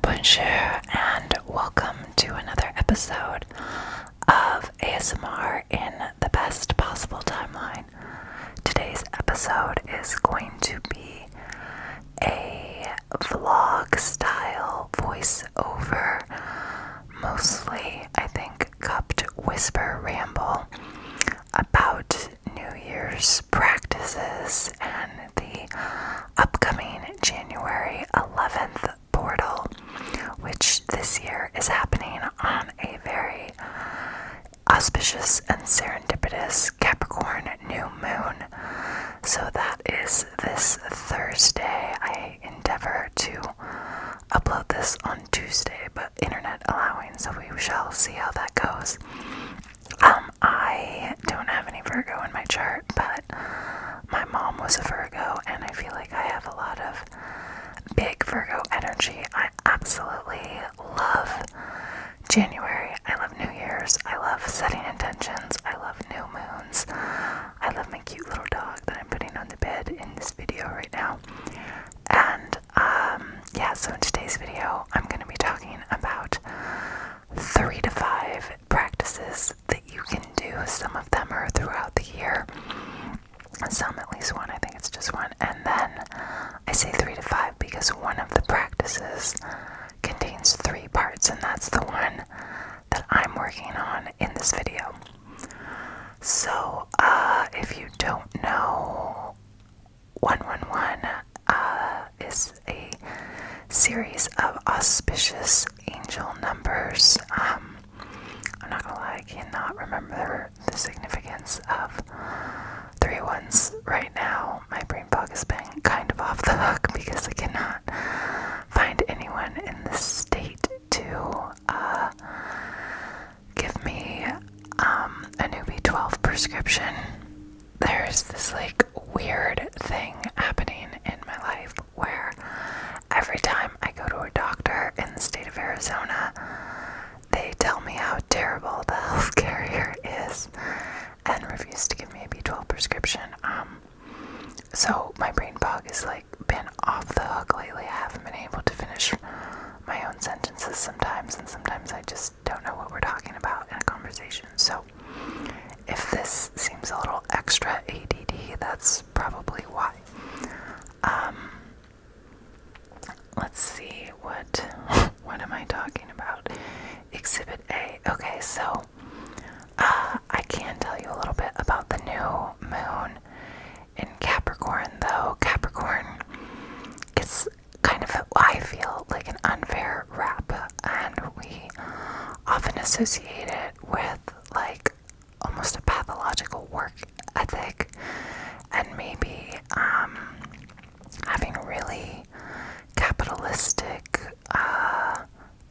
Bonjour and welcome to another episode of ASMR in the best possible timeline. Today's episode is going to be a vlog style voiceover, mostly, I think, cupped whisper ramble about New Year's practices and the upcoming January 11th portal, which this year is happening on a very auspicious and serendipitous Capricorn new moon. So that is this Thursday. I endeavor to upload this on Tuesday, but internet allowing, so we shall see how that goes. Um, I don't have any Virgo in my chart, but my mom was a Virgo, and I feel like I have a lot of big Virgo energy. I absolutely love January. I love New Year's. I love setting intentions. I love new moons. I love my cute little dog that I'm putting on the bed in this video right now. And um, yeah, so in today's video, I'm going to be talking about three to five practices that you can do. Some of them are throughout the year, some at least one. I think it's just one. And then I say three to five because one of the practices contains three parts, and that's the one that I'm working on in this video. So, uh, if you don't know, 111 uh, is a series of auspicious angel numbers. Um, I'm not gonna lie, I cannot remember the significance of three ones right now. My brain fog has been kind of off the hook because I cannot find anyone in the state to uh, give me um, a newbie 12 prescription there's this like weird thing happening in my life where every time I go to a doctor in the state of Arizona, they tell me how terrible the health care here is and refuse to give me a B12 prescription. Um, so my brain fog has like been off the hook lately. I haven't been able to finish my own sentences sometimes, and sometimes I just don't know what we're talking about in a conversation. So if this seems a little extra ADD, that's probably why. Um, let's see what what am I talking about? Exhibit A. Okay, so uh, I can tell you a little bit about the new moon in Capricorn, though Capricorn gets kind of I feel like an unfair wrap, and we often associated with like almost a pathological work ethic and maybe um, having really capitalistic uh,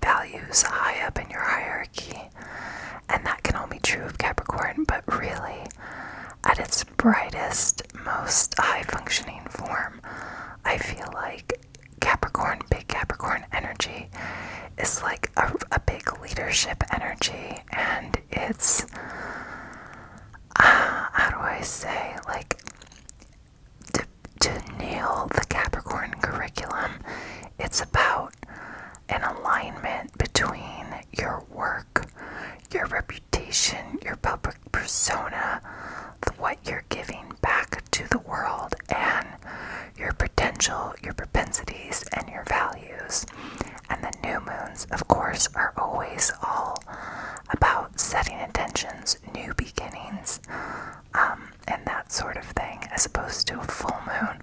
values high up in your hierarchy. And that can all be true of Capricorn, but really, at its brightest, most high functioning form, I feel like Capricorn, big Capricorn energy is like a, a big leadership energy, and it's uh, how do I say, like to, to nail the Capricorn curriculum, it's about an alignment between your work, your reputation, your public persona, what you are giving back to the world and your potential, your propensities, and your values. And the new moons, of course, are always all about setting intentions, new beginnings, um, and that sort of thing, as opposed to a full moon,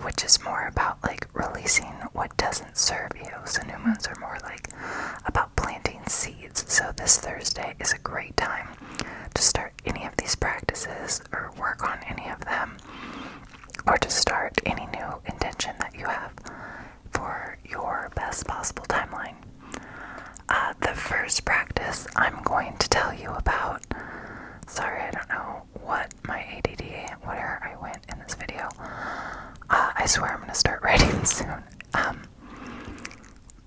which is more about like releasing what doesn't serve you. So, new moons are more like about planting seeds. So, this Thursday is a great time to start any of these practices or work on any of them or to start any new intention that you have for your best possible timeline. Uh, the first practice I'm going to tell you about, sorry, I don't know what my ADD, whatever I went in this video. Uh, I swear I'm going to start writing soon. Um,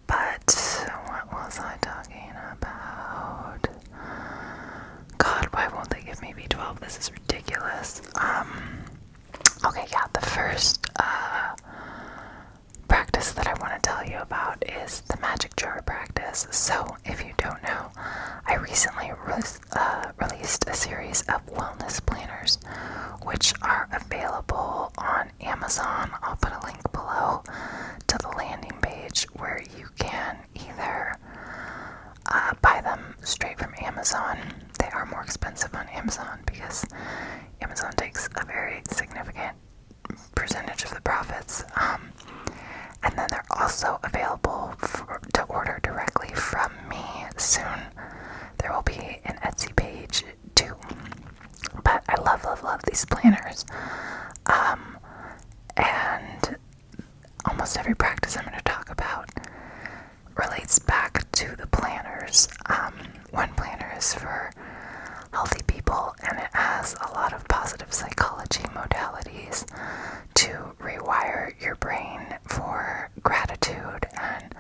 but what was I talking about? God, why won't they give me B12? This is ridiculous. Um, okay, yeah, the first uh, practice that I want to tell you about is the magic jar practice. So, if you don't know, I recently uh, released a series of wellness planners, which are available on Amazon. I'll put a link below to the landing page where you can either uh, buy them straight from Amazon. They are more expensive on Amazon because Amazon takes a very significant percentage of the profits. Um, and then they're also available to order directly from me soon. There will be an Etsy page too. But I love, love, love these planners. Um, and almost every practice I'm going to talk about relates back to the planners. Um, one planner is for healthy people, and it has a lot of positive psychology modalities to rewire your brain for gratitude and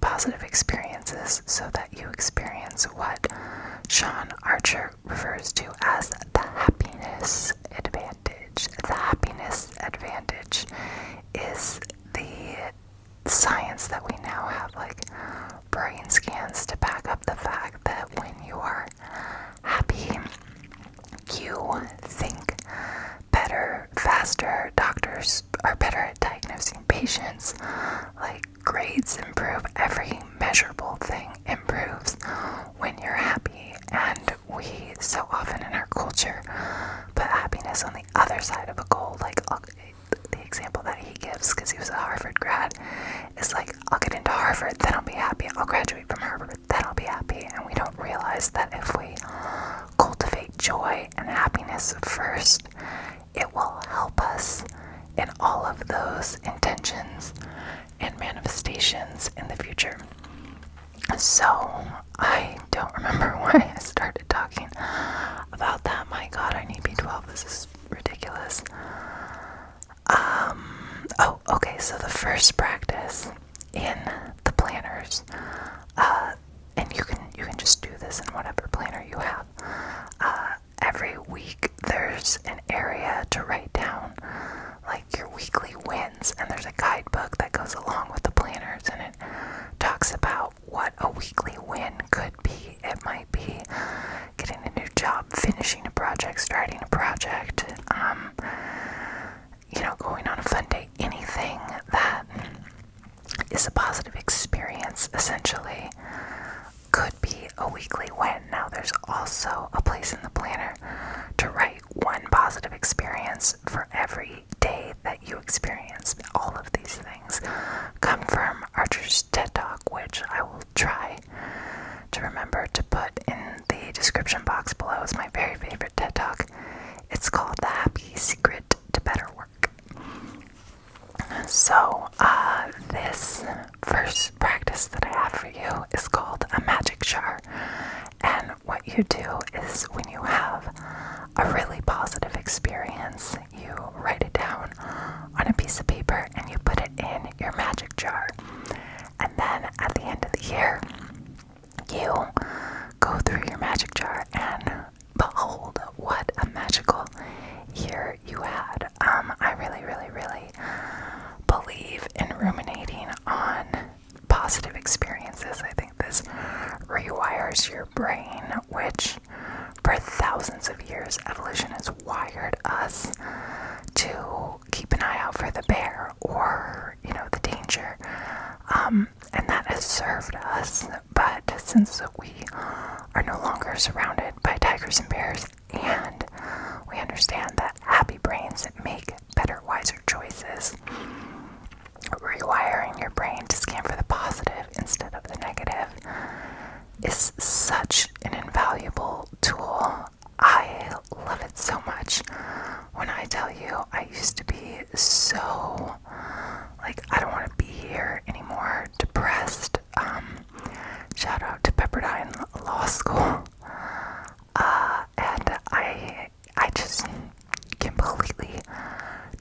positive experiences so that you experience what Sean Archer refers to as the happiness advantage. The happiness advantage is the science that we now have, like brain scans, to back up the fact that when you are happy, you think better, faster. Doctors are better at diagnosing patients. Like Grades improve, every measurable thing improves when you're happy, and we so often in our culture put happiness on the other side of a goal. Like the example that he gives, because he was a Harvard grad, is like, I'll get into Harvard, then I'll be happy, I'll graduate from Harvard, then I'll be happy. And we don't realize that if we cultivate joy and happiness first, it will help us and all of those intentions and manifestations in the future. So, I don't remember why I started talking about that. My god, I need B12. This is ridiculous. Um, oh, okay, so the first practice in the planners, uh, and you can you can just do this in whatever planner you have. Uh, every week there's an area to write down like your weekly wins, and there's a guidebook that goes along with the planners, and it talks about what a weekly win could be. It might be getting a new job, finishing a project, starting a project, um, you know, going on a fun day. anything that is a positive experience, essentially could be a weekly win. Now, there's also a place in the planner to write one positive experience for every day that you experience. All of these things come from Archer's TED Talk, which I will try to remember to put in the description box below. It's my very favorite TED Talk. It's called The Happy Secret to Better Work. So, uh, this first practice that I have for you is called a magic jar. And what you do is when you have a really positive experience, you write it down on a piece of paper and you put it in your magic jar. And then at the end of the year, you go through your magic jar and behold what a magical year you had. Um, I really, really, really believe in ruminating on positive experiences. I think this rewires your brain, which for thousands of years, evolution has wired us to keep an eye out for the bear or, you know, the danger. Um, and that has served us. But since we are no longer surrounded by tigers and bears and we understand that happy brains make better, wiser choices. Rewiring your brain to scan for the positive instead of the negative is such an invaluable tool. I love it so much. When I tell you, I used to be so like, I don't want to be here anymore, depressed, um, shout out to Pepperdine Law School. Uh, and I, I just completely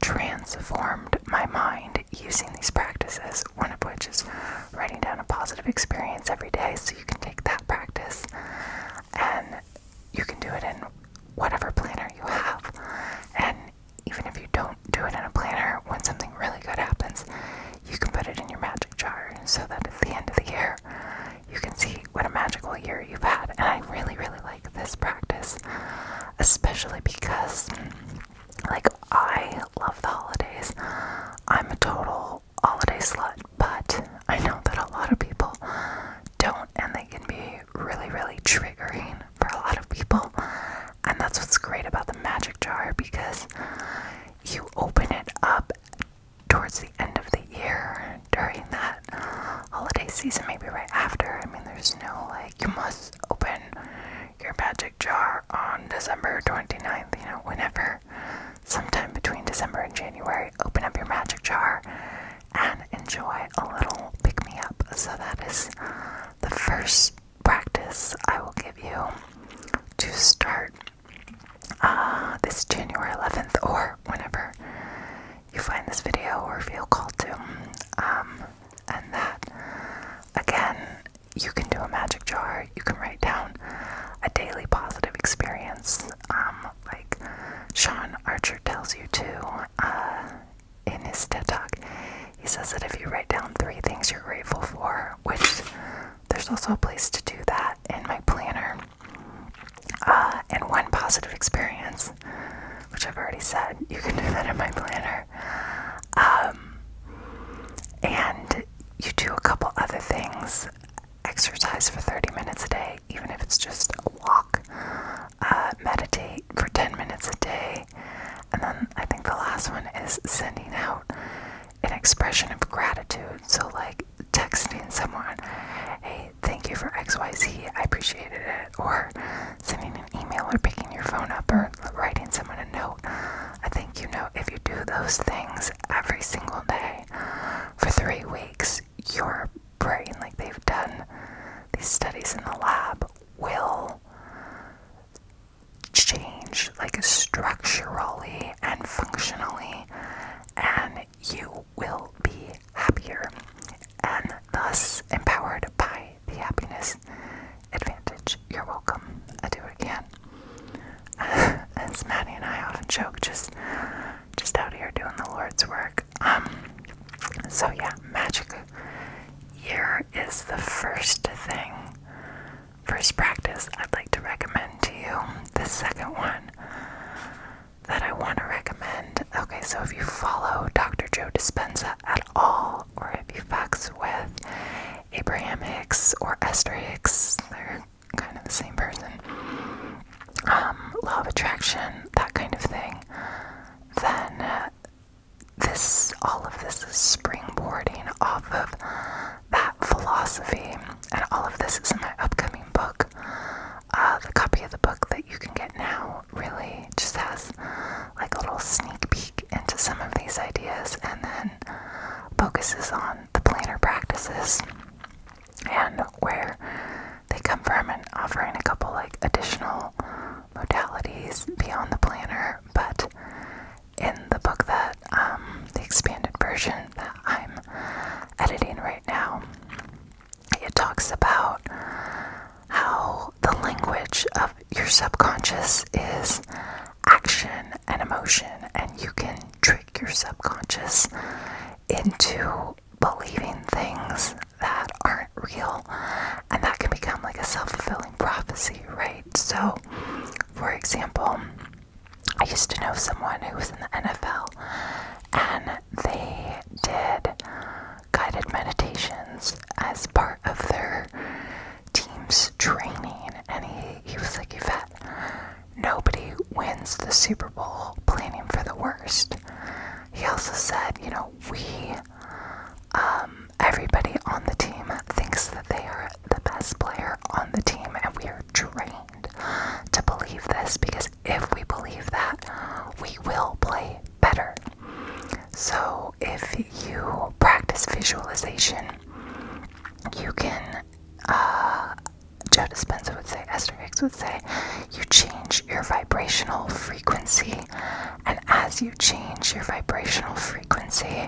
transformed my mind using these practices. One of which is writing down a positive experience every day, so you can take that practice and you can do it in whatever planner you have. And even if you don't do it in a planner, when something really good happens, you can put it in your magic jar so that at the end of the year you can see what a magical year you've had. And I really, really like this practice, especially because, like, I love the holidays. I'm a total holiday slut, but I know that a lot of people don't, and they can be really, really triggering for a lot of people. And that's what's great about the magic jar because you open it up towards the end of the year during that holiday season, maybe right after. I mean, there's no like, you must open your magic jar on December 29th, you know, whenever, sometime between December and January, open up your magic jar and enjoy a little pick me up. So, that is the first practice I will give you to start uh, this January 11th or whenever you find this video or feel called to. Um, and that, again, you can do a magic jar. You can write down a daily positive experience, um, like Sean Archer tells you to uh, in his TED Talk. He says that if you write down three things you're grateful for, which there's also a place to do that in my planner. Uh, and one positive experience, which I've already said, you can do that in my planner. Um, and you do a couple other things. Exercise for 30 minutes a day, even if it's just a walk. Uh, meditate for 10 minutes a day. And then I think the last one is sending out an expression of gratitude. So, like texting someone, hey, thank you for XYZ, I appreciated it, or sending an email or picking your phone up or writing someone a note. I think you know if you do those things every single day for three weeks, your brain, like they've done these studies in the lab, will change like structurally and functionally and you will be happier and thus empowered by the happiness advantage. You're welcome. I do it again. As Maddie and I often joke, just just out here doing the Lord's work. Um so yeah, magic Here is the first thing first practice I'd like to recommend to you. The second one that I want to recommend. Okay, so if you follow Dr. Joe Dispenza at all, or if you fucks with Abraham Hicks or Esther Hicks, they're kind of the same person. Um, law of attraction, that kind of thing. Then uh, this, all of this is springboarding off of that philosophy and all of this is in my upcoming book. Uh, the copy of the book that you can get now really just has like a little sneak peek into some of these ideas and then focuses on the planner practices and where they come from and offering a couple like additional modalities beyond the planner, but in the book that um, the expanded version that I'm editing right now. It talks about how the language of your subconscious is action and emotion, and you can trick your subconscious into believing things that aren't real, and that can become like a self fulfilling prophecy, right? So, for example, I used to know someone who was in the NFL and they did guided meditations as part of their team's training. And he, he was like, Yvette, nobody wins the Super Bowl planning for the worst. He also said, you know, we, um, everybody on the team thinks that they are the best player on the team and we are trained to believe this because if we believe that, we will play better. So, if you practice visualization, you can, uh, Joe Dispenza would say, Esther Hicks would say, you change your vibrational frequency. And as you change your vibrational frequency,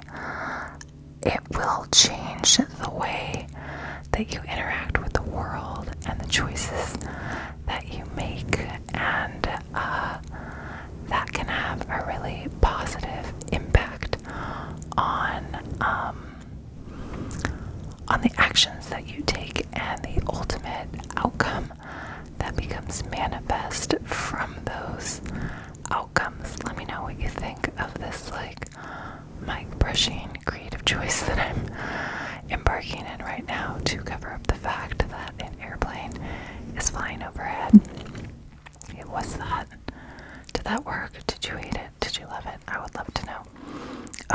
it will change the way that you interact with the world and the choices that you make, and uh, that can have a really positive impact on um, on the actions that you take and the ultimate outcome that becomes manifest from those outcomes. Let me know what you think of this, like mic brushing creative choice that I'm embarking in right now to cover up the fact that an airplane is flying overhead. It was that. Did that work? Did you hate it? Did you love it? I would love to know.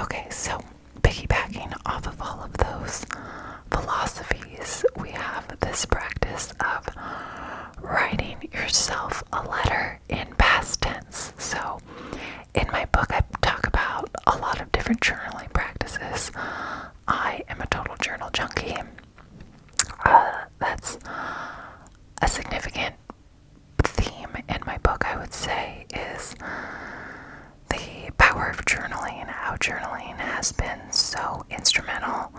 Okay, so piggybacking off of all of those philosophies, we have this practice of writing yourself a letter in past tense. So in my book, I talk about a lot of different journaling practices. I am a total journal junkie. Uh, that's a significant theme in my book, I would say, is the power of journaling, how journaling has been so instrumental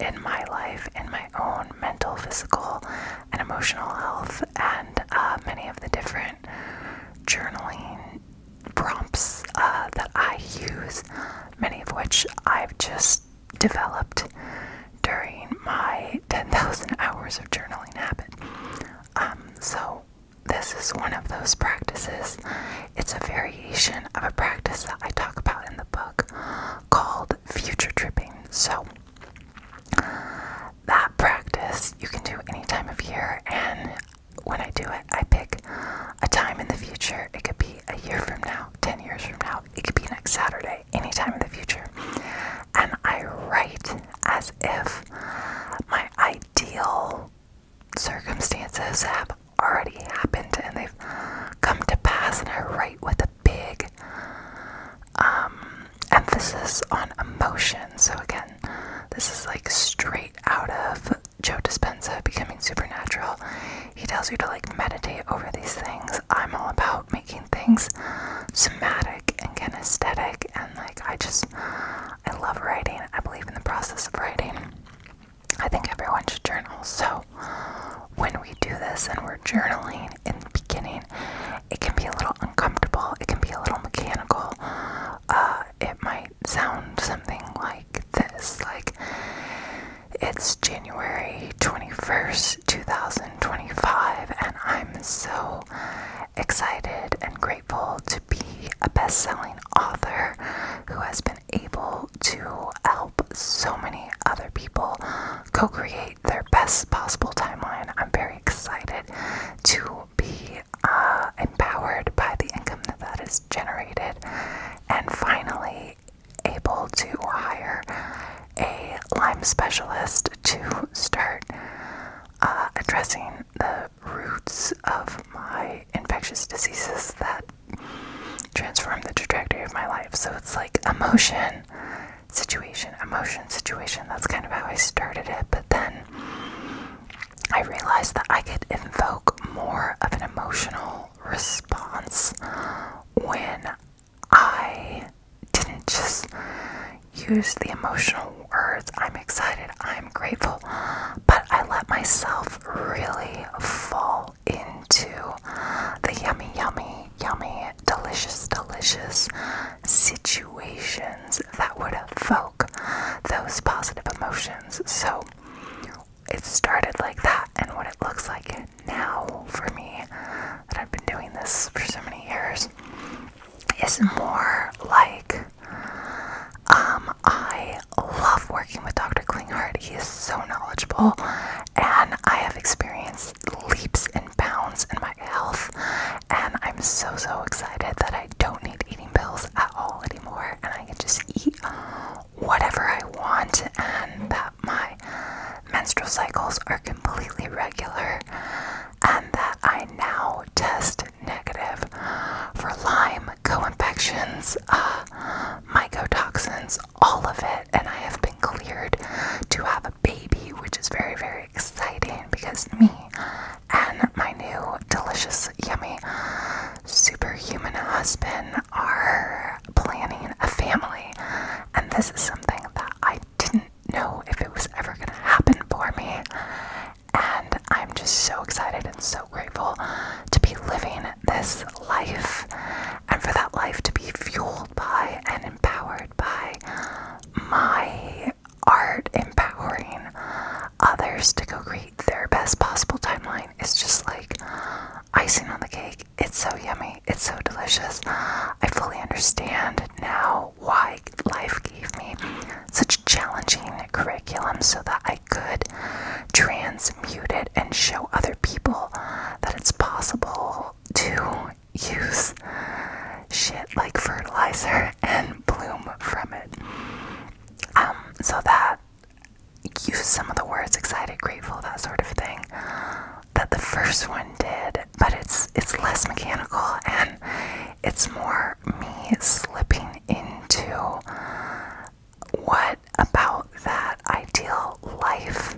in my life, in my own mental, physical, and emotional health, and uh, many of the different journaling prompts uh, that I use, many of which I've just developed during my 10,000 hours of journaling habit. Um, so, this is one of those practices. It's a variation of a practice that I talk about in the book called future tripping. So, that practice you can do any time of year, and when I do it, I pick a time in the future. It could be a year from now, 10 years from now, it could be next Saturday, any time in the future. And I write as if my ideal circumstances have already happened and they've come to pass, and I write with a big um, emphasis on emotion. So, again, this is like straight out of Joe Dispenza becoming supernatural. He tells you to like meditate over these things. I'm all about making things somatic and kinesthetic, and like I just, I love writing. I believe in the process of writing. I think everyone should journal. So, when we do this and we're journaling, in the beginning, it can be a little uncomfortable, it can be a little mechanical. Uh, it might sound something like this like, it's January 21st, 2025, and I'm so excited and grateful to be a best selling author who has been able to help so many other people co create their best possible timeline. I'm very excited to be uh, empowered by the income that that is generated, and finally able to hire a Lyme specialist to start uh, addressing the roots of my infectious diseases that transform the trajectory of my life. So it's like emotion situation, emotion situation. That's kind of how I started it, but then I realized that I could invoke more of an emotional response when I didn't just use the emotional words I'm excited, I'm grateful, but I let myself really fall into the yummy, yummy yummy, delicious, delicious situations that would evoke those positive emotions. So it started like that, and what it looks like now for me that I've been doing this for so many years is more like um, I love working with Dr. Klinghardt. He is so knowledgeable, and I have experienced leaps and pounds and my health. And I'm so, so excited that I don't need eating pills at all anymore. And I can just eat whatever I want, and that my menstrual cycles are completely regular, and that I now test negative for Lyme, co infections, uh, mycotoxins, all of it. And I have been cleared to have a baby, which is very, very exciting because me and my new delicious, yummy, superhuman husband are planning a family. And this is something that I didn't know if it was ever going to happen for me. And I'm just so excited and so grateful to be living this life and for that life to be fueled by and empowered by my art empowering others to go create their best possible timeline is just like icing on the cake. It's so yummy. It's so delicious. I fully understand now why life gave me such challenging curriculum so that I could transmute it and show other people that it's possible to use shit like fertilizer and bloom from it. Um, so that use some of the words excited, grateful, that sort of thing that the first one did, but it's it's less mechanical and it's more me slipping into what about that ideal life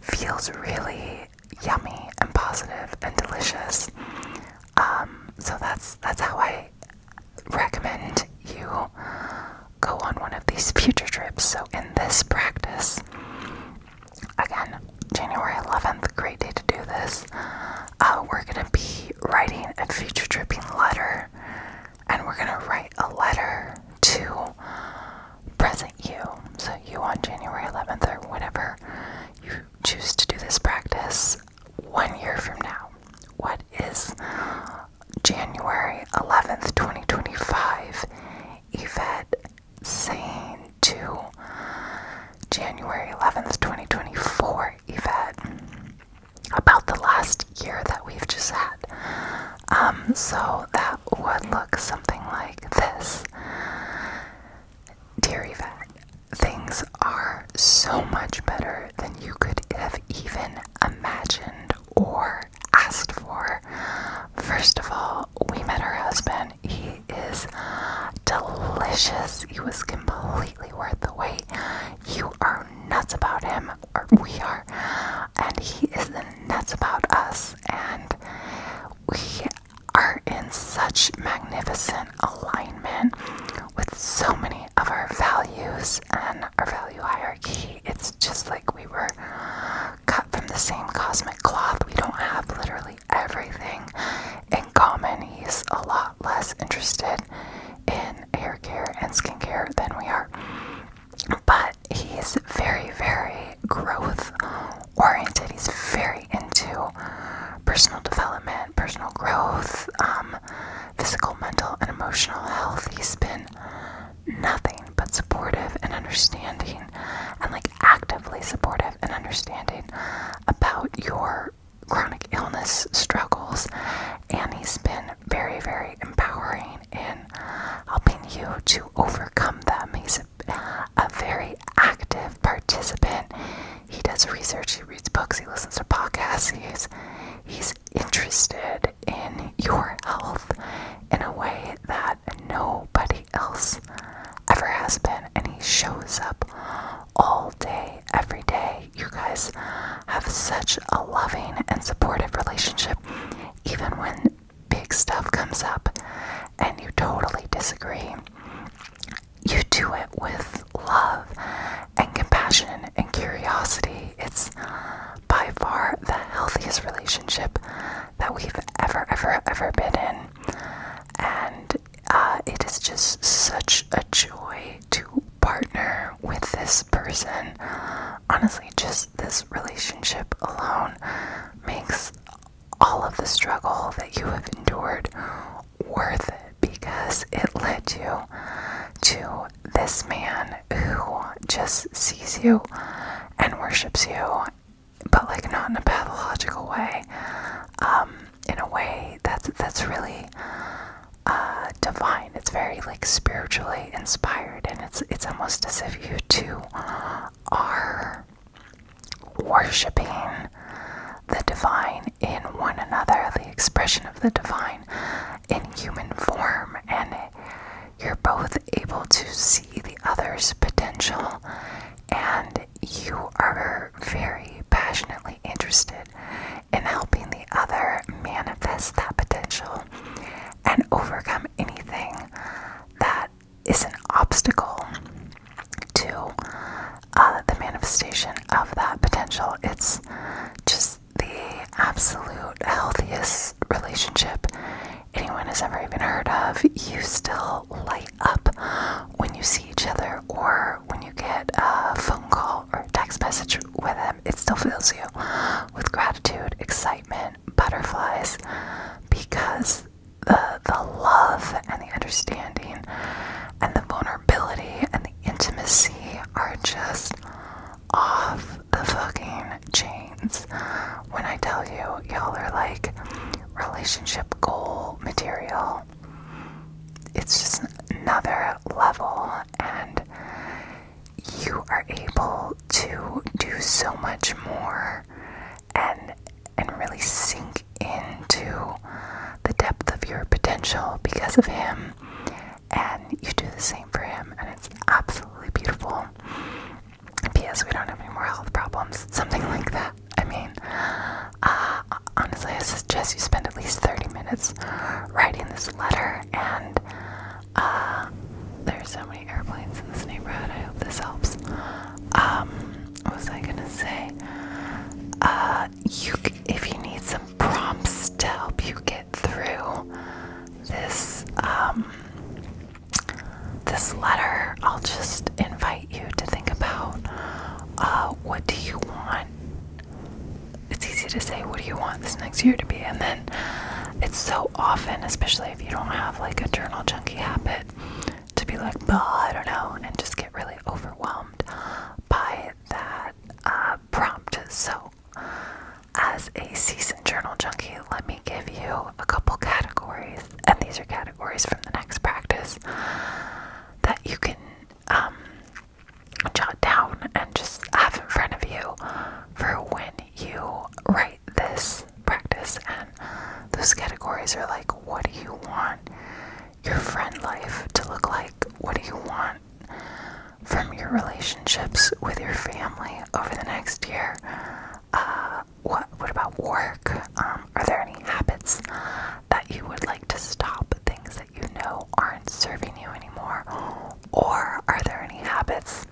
feels really yummy and positive and delicious. Um, so that's that's how I recommend you go on one of these future trips. So in this practice, again, January 11th, great day to do this. Uh, we're gonna be writing a future tripping letter, and we're gonna write a letter to present you. So you on January 11th or whatever choose to do this practice one year from now, what is January 11th, 2025, Yvette saying to January 11th, 2024, Yvette, about the last year that we've just had? Um, so that would look something like this. Dear fat, things are so much better than you could have even imagined or asked for. First of all, we met her husband. He is delicious. He was completely worth the wait. You are nuts about him, or we are, and he is nuts about us. And we are in such magnificent alignment with so many of our values and our value hierarchy. It's just like we were cut from the same cosmic cloth. We don't have literally everything in common. He's a lot less interested in hair care and skincare than we are. But he's very, very growth oriented. He's very into personal development, personal growth, um, physical, mental, and emotional health. He's been nothing but supportive and understanding, and like actively supportive and understanding about your chronic illness struggles. And he's been very, very empowering in helping you to overcome them. He's a very active participant. He does research, he reads books, he listens to podcasts, he's, he's interested in your health in a way that nobody else ever has been. And he shows up all day, every day. You guys have such a loving and supportive relationship, even when big stuff comes up and you totally disagree you do it with love and compassion and curiosity. It's by far the healthiest relationship that we've ever, ever, ever been in. And uh, it is just such a joy to partner with this person. Honestly, just this relationship alone makes all of the struggle that you have endured worth it because it led you to this man who just sees you and worships you, but like not in a pathological way, um, in a way that's that's really uh, divine. It's very like spiritually inspired, and it's it's almost as if you two are worshipping the divine in one another, the expression of the divine in human form, and you're both able to see the other's potential, and you are very passionately interested in helping the other manifest that potential and overcome anything that is an obstacle to uh, the manifestation of that potential. It's just the absolute healthiest relationship anyone has ever even heard of. You still light up when you see each other or when you get a phone call or text message with them. It still fills you with gratitude, excitement, butterflies because the the love and the understanding and the vulnerability and the intimacy are just off the fucking chains. When I tell you, y'all are like relationship goal material. It's just another level, and you are able to do so much more and and really sink into the depth of your potential because of him, and you do the same for him, and it's absolutely beautiful. P.S. We don't have any more health problems, something like that. I mean, uh, honestly, I suggest you spend at least 30 minutes writing this letter, and uh, are so many airplanes in this neighborhood. I hope this helps. Um, what was I gonna say? Uh, if you need some prompts to help you get through this, um, this letter, I'll just invite you to think about, uh, what do you want? It's easy to say, what do you want this next year to be? And then it's so often, especially if you don't have like a journal junkie habit, to be like, I don't know, and just get really overwhelmed by that uh, prompt. So, as a season journal junkie, let me give you a couple categories, and these are categories from the next practice that you can um, jot down and just have in front of you for when you write this practice. And those categories are like, what do you want your friend life to look like? What do you want from your relationships with your family over the next year? Uh, what what about work? Um, are there any habits that you would like to stop? Things that you know aren't serving you anymore, or are there any habits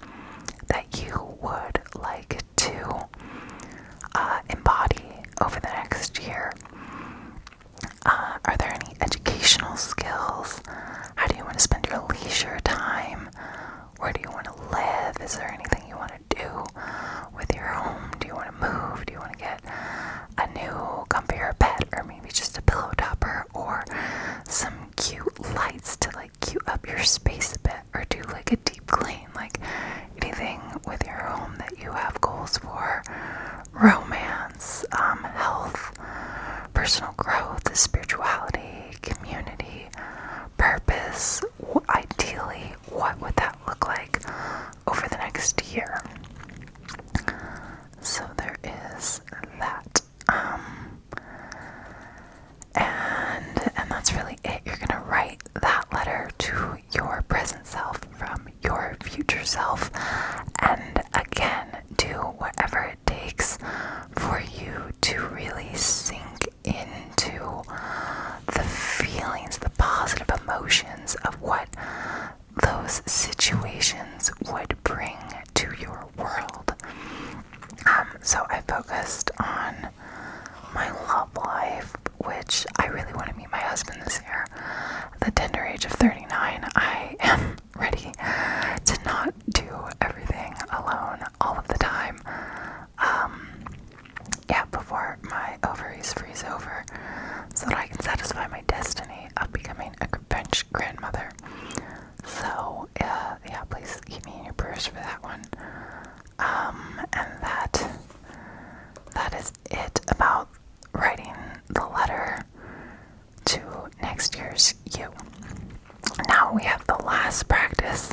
that you would like to uh, embody over the next year? Uh, are there any educational skills? How do you want to spend your leisure time? Where do you want to live? Is there anything you want to do with your home? Do you want to move? Do you want to get a new comfier bed or maybe just a pillow topper or some cute lights to like cute up your space a bit or do like a deep clean? Like anything with your home that you have goals for romance, um, health, personal growth, spirituality, community, purpose. Ideally, what would that look like over the next year? So there is that. Um, and and that's really it. You're gonna write that letter to your present self from your future self, and again, do whatever it takes for you to really sink into the feelings, the positive emotions of what those situations would bring to your world. Um, so I focused on my love life, which I really want to meet my husband this year near the tender age of 39, I am ready to not do everything alone all of the time. Um, yeah, before my ovaries freeze over, so that I can satisfy my destiny of becoming a bench grandmother. So, uh, yeah, please keep me in your prayers for that one. Um, and that that is it about writing the letter to next year's you. Now we have the last practice,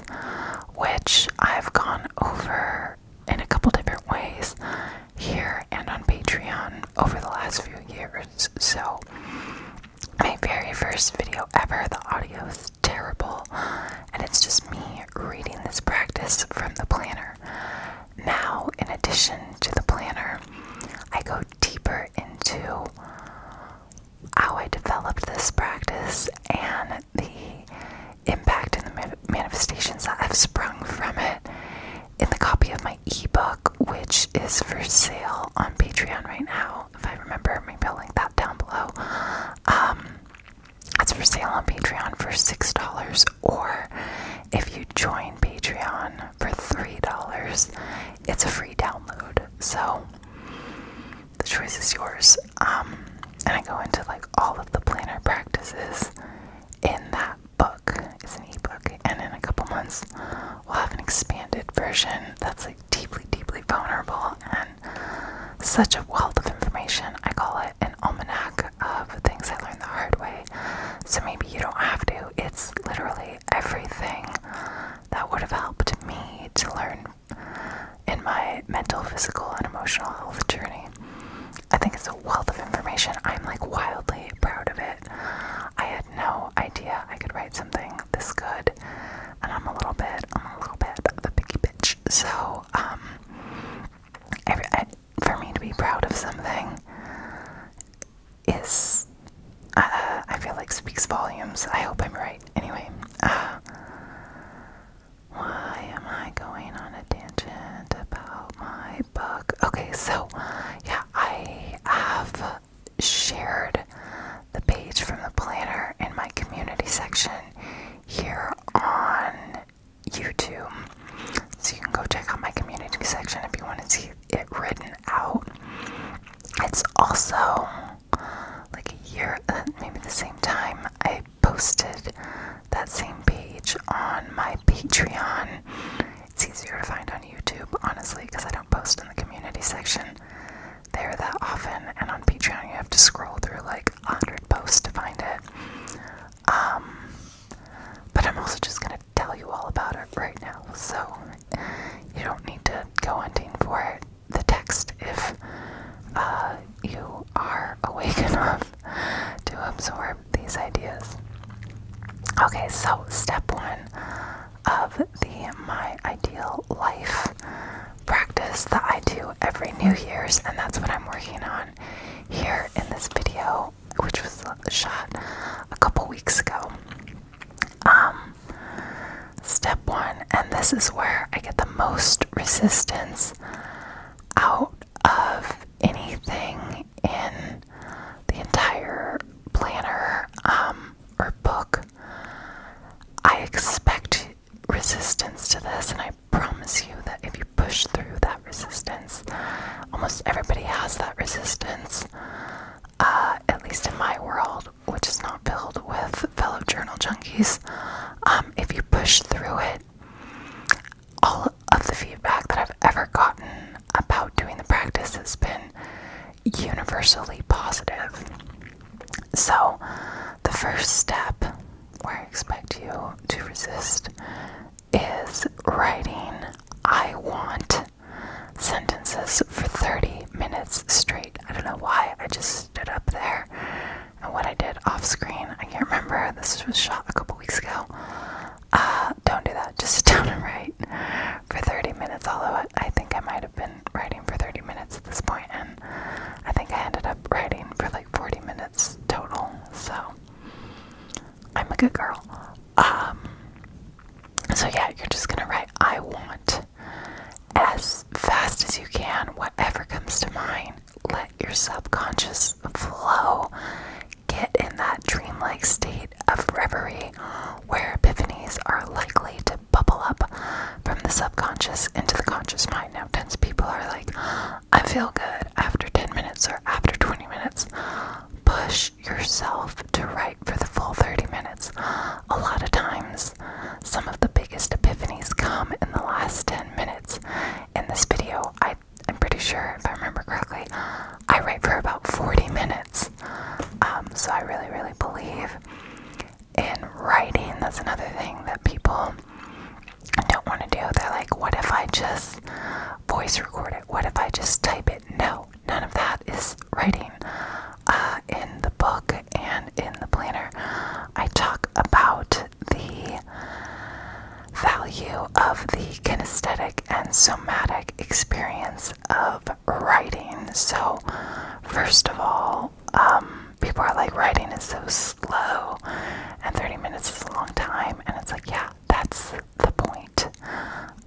which I've gone over in a couple different ways here and on Patreon over the last few years. So, my very first video ever, the audio is terrible, and it's just me reading this practice from the planner. Now, in addition to the planner, I go deeper into how I developed this practice and the impact and the manifestations that have sprung from it in the copy of my ebook, which is for sale on Patreon right now. If I remember, maybe I'll link that down below. it's um, for sale on Patreon for $6, or if you join Patreon for $3, it's a free download. So the choice is yours. Um, and I go into like all of the planner practices in that book. It's an ebook. And in a couple months, we'll have an expanded version that's like deeply, deeply vulnerable and such a wealth of information. I call it an almanac of things I learned the hard way. So maybe you don't have to. It's literally everything that would have helped me to learn in my mental, physical, and emotional health journey. I think it's a wealth of information. I'm like wildly proud of it. I had no idea I could write something this good, and I'm a little bit, I'm a little bit of a picky bitch. So, um, for me to be proud of something is, uh, I feel like speaks volumes. I hope I'm right. Anyway, uh, why am I going on a tangent about my book? Okay, so yeah, I have shared the page from the planner in my community section here on YouTube. So you can go check out my community section if you want to see it written out. It's also like a year, maybe the same time, I posted that same page on my Patreon. It's easier to find on YouTube, honestly, because I don't post in the community section there that often. And on Patreon, you have to scroll through like 100 posts to find it. Um, but I'm also just gonna tell you all about it right now, so you don't need to go hunting for it. The text, if uh, you are awake enough to absorb these ideas. Okay, so step one of the My Ideal Life practice that I do every New Year's, and that's what I'm working on here in this video which was shot a couple weeks ago. Um, step one, and this is where I get the most resistance out of anything in the entire planner um, or book. I expect resistance to this, and I promise you that if you push through that resistance. Almost everybody has that resistance, uh, at least in my world, which is not filled with fellow journal junkies. Um, if you push through it, all of the feedback that I've ever gotten about doing the practice has been universally positive. So, the first step where I expect you to resist is writing I want sentences for 30 minutes straight. I don't know why, I just stood up there and what I did off screen, I can't remember. This was shot a couple weeks ago. Uh, don't do that, just sit down and write for 30 minutes. Although I think I might have been writing for 30 minutes at this point, and I think I ended up writing for like 40 minutes total. So, I'm a good girl. Um, so yeah, you're just gonna write I want as fast as you can, whatever comes to mind. Let your subconscious flow. Get in that dreamlike state of reverie where epiphanies are likely to bubble up from the subconscious into the conscious mind. Now, tense people are like, I feel good after 10 minutes or after 20 minutes. Push yourself to write for the full 30 minutes. A lot of times, some of the biggest epiphanies come in the last 10 minutes. In this video, I, am pretty sure, if I remember correctly, I write for about 40 minutes. Um, so I really, really believe in writing. That's another thing that people don't want to do. They're like, what if I just voice record it? What if I just type it? No, none of that is writing. Uh, in the book and in the planner, I talk about the value of the kinesthetic and somatic experience of writing. So, first of all, um, people are like, writing is so slow, and 30 minutes is a long time, and it's like, yeah, that's the point.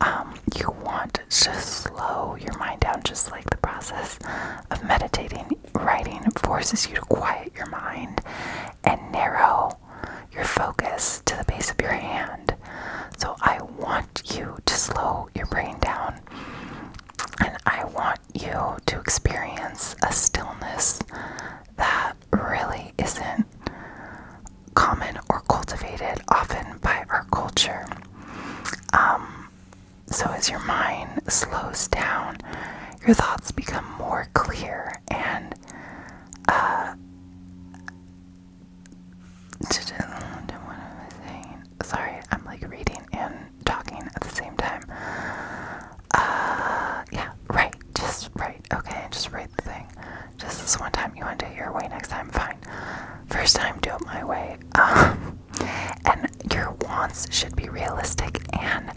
Um, you want to slow your mind down, just like the process of meditating. Writing forces you to quiet your mind and narrow your focus to the base of your hand. So, I want you to slow your brain down and I want you to experience a stillness that really isn't common or cultivated often by our culture. Um, so, as your mind slows down, your thoughts become more clear and uh, Sorry, I'm like reading and talking at the same time. Uh, yeah, right, just right. Okay, just write the thing. Just this one time, you want to do it your way next time? Fine. First time, do it my way. Um, and your wants should be realistic and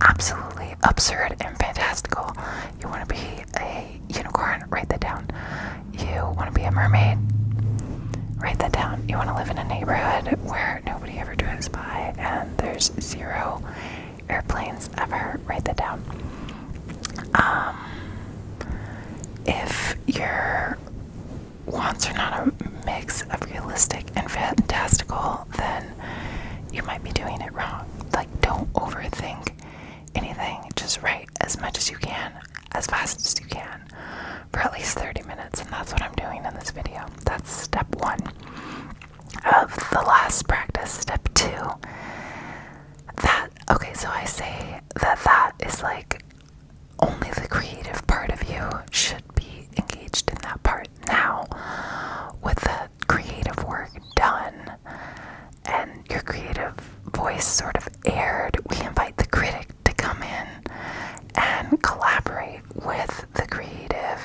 absolutely absurd and fantastical. You want to be a unicorn? Write that down. You want to be a mermaid? Write that down. You want to live in a neighborhood where nobody ever drives by and there's zero airplanes ever? Write that down. Um, if your wants are not a mix of realistic and fantastical, then you might be doing it wrong. Like, don't overthink anything, just write as much as you can, as fast as you can, for at least 30 minutes, and that's what I'm doing in this video. That's step one of the last practice. Step two that okay so i say that that is like only the creative part of you should be engaged in that part now with the creative work done and your creative voice sort of aired we invite the critic to come in and collaborate with the creative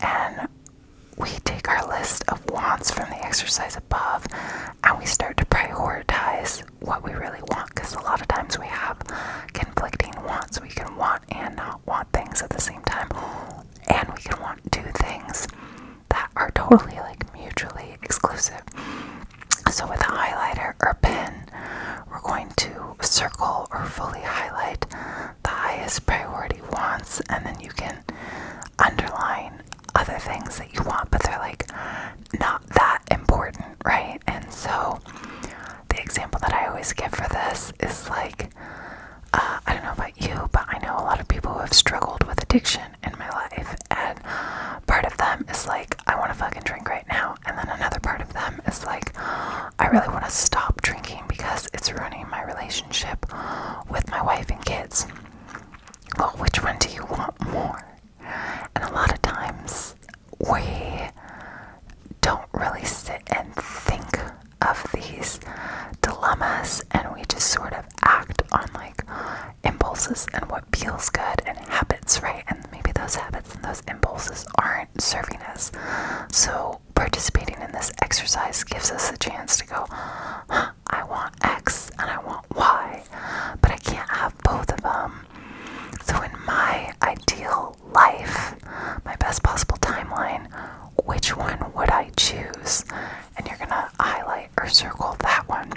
and we take our list wants from the exercise above, and we start to prioritize what we really want because a lot of times we have conflicting wants. We can want and not want things at the same time, and we can want two things that are totally like mutually exclusive. So, with a highlighter or pen, we're going to circle or fully highlight the highest priority wants, and then you can underline other things that you want, but they're like not that important, right? And so the example that I always give for this is like uh, I don't know about you, but I know a lot of people who have struggled with addiction in my life, and part of them is like, I want to fucking drink right now, and then another part of them is like, I really want to stop drinking because it's ruining my relationship with my wife and kids well, which one do you want more? And a lot of times we don't really sit and think of these dilemmas and we just sort of act on like impulses and what feels good and habits, right? And maybe those habits and those impulses aren't serving us. So participating in this exercise gives us a chance to go, I want X and I want Y, but I can't have both of them. So, in my ideal life, my best possible timeline, which one would I choose? And you're gonna highlight or circle that one.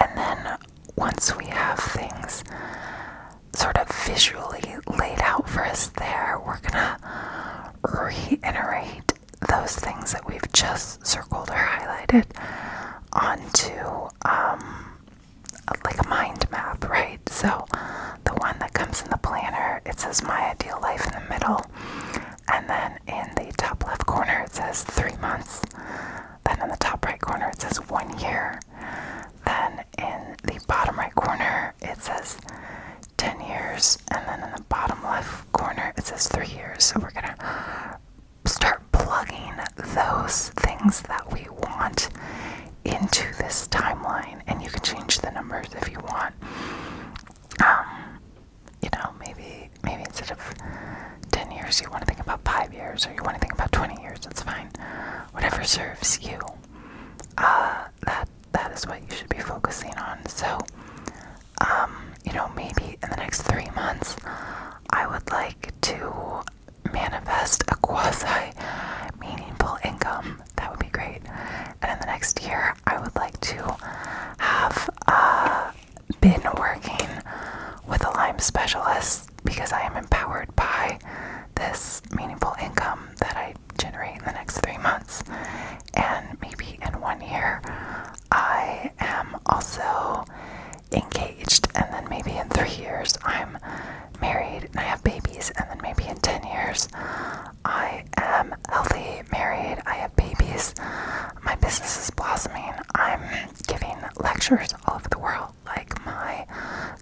And then, once we have things sort of visually laid out for us, there, we're gonna reiterate those things that we've just circled or highlighted onto um, like a mind map, right? So the one that comes in the planner, it says my ideal life in the middle. And then in the top left corner, it says three months. Then in the top right corner, it says one year. Then in the bottom right corner, it says 10 years. And then in the bottom left corner, it says three years. So we're going to start plugging those things that we want into this timeline, and you can change the numbers if you want. Um, you know, maybe maybe instead of ten years, you want to think about five years, or you want to think about twenty years. That's fine. Whatever serves you. Uh, that that is what you should be focusing on. So, um, you know, maybe in the next three months, I would like to manifest a quasi meaningful income. That would be great. And in the next year, I would like to have uh, been working with a Lyme specialist because I am empowered by this meaningful income that I generate in the next three months. And maybe in one year, I am also engaged, and then maybe in three years I'm married and I have babies, and then maybe in 10 years I am healthy, married, I have babies, my business is blossoming, I'm giving lectures all over the world, like my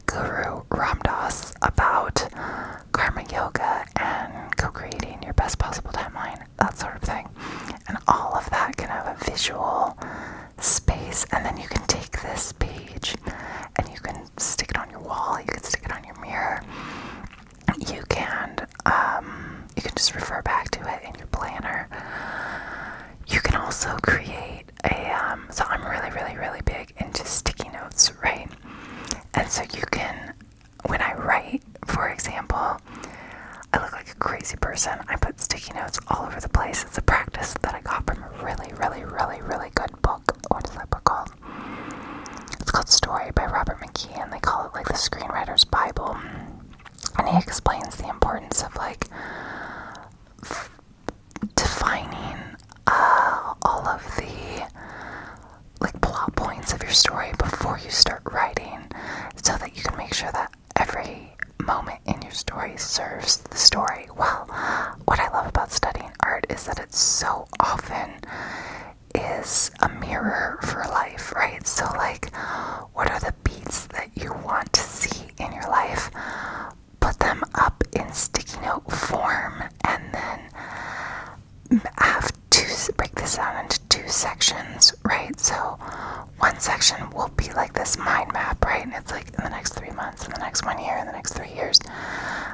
guru Ram Dass, about karma yoga and co creating your best possible timeline that sort of thing. And all of that can have a visual space, and then you can take this page and you can stick it on your wall, you can stick it on your mirror, you can um, you can just refer back to it in your planner. You can also create a um, so I'm really really really big into sticky notes, right? And so you can when I write for example, I look like a crazy person. I put sticky notes all over the place. It's a practice that I got from a really, really, really, really good book. What is that book called? It's called Story by Robert McKee, and they call it like the Screenwriter's Bible. And he explains the importance of like defining uh, all of the like plot points of your story before you start writing so that you can make sure that every moment in your story serves the story well. What I love about studying art is that it's so often is a mirror for life, right? So, like, what are the beats that you want to see in your life? Put them up in sticky note form and then have two break this down into two sections right? So one section will be like this mind map, right? And it's like in the next three months, in the next one year, in the next three years,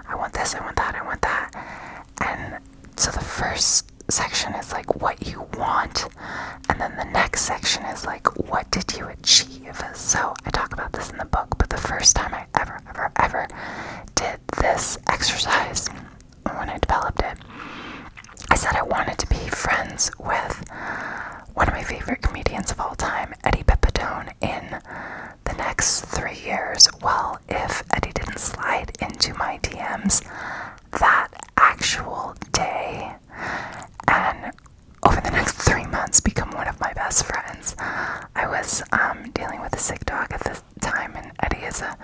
I want this, I want that, I want that. And so the first section is like what you want, and then the next section is like what did you achieve. So I talk about this in the book, but the first time I ever, ever, ever did this exercise when I developed it, I said I wanted to be friends with one of my favorite comedians of all time, Eddie Pepitone, in the next three years. Well, if Eddie didn't slide into my DMs that actual day and over the next three months become one of my best friends, I was um, dealing with a sick dog at the time, and Eddie is a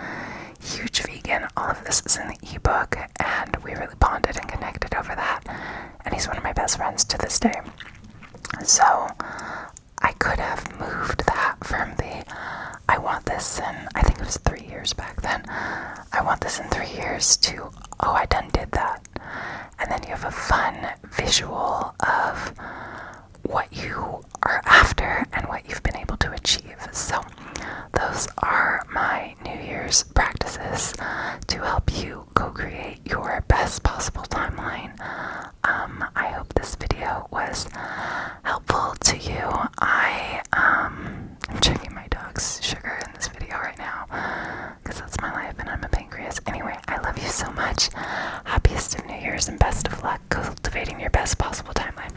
huge vegan. All of this is in the ebook, and we bonded and connected over that. And he's one of my best friends to this day. So I could have moved that from the I want this and I think it was three years back then, I want this in three years to oh, I done did that. And then you have a fun visual of what you are after and what you've been able to achieve. So those are my New Year's practices to help you co create your best possible timeline. Um, I hope this video was helpful to you. I am um, checking my dog's sugar in this video right now because that's my life and I'm a pancreas. Anyway, I love you so much. Happiest of New Year's and best of luck cultivating your best possible timeline.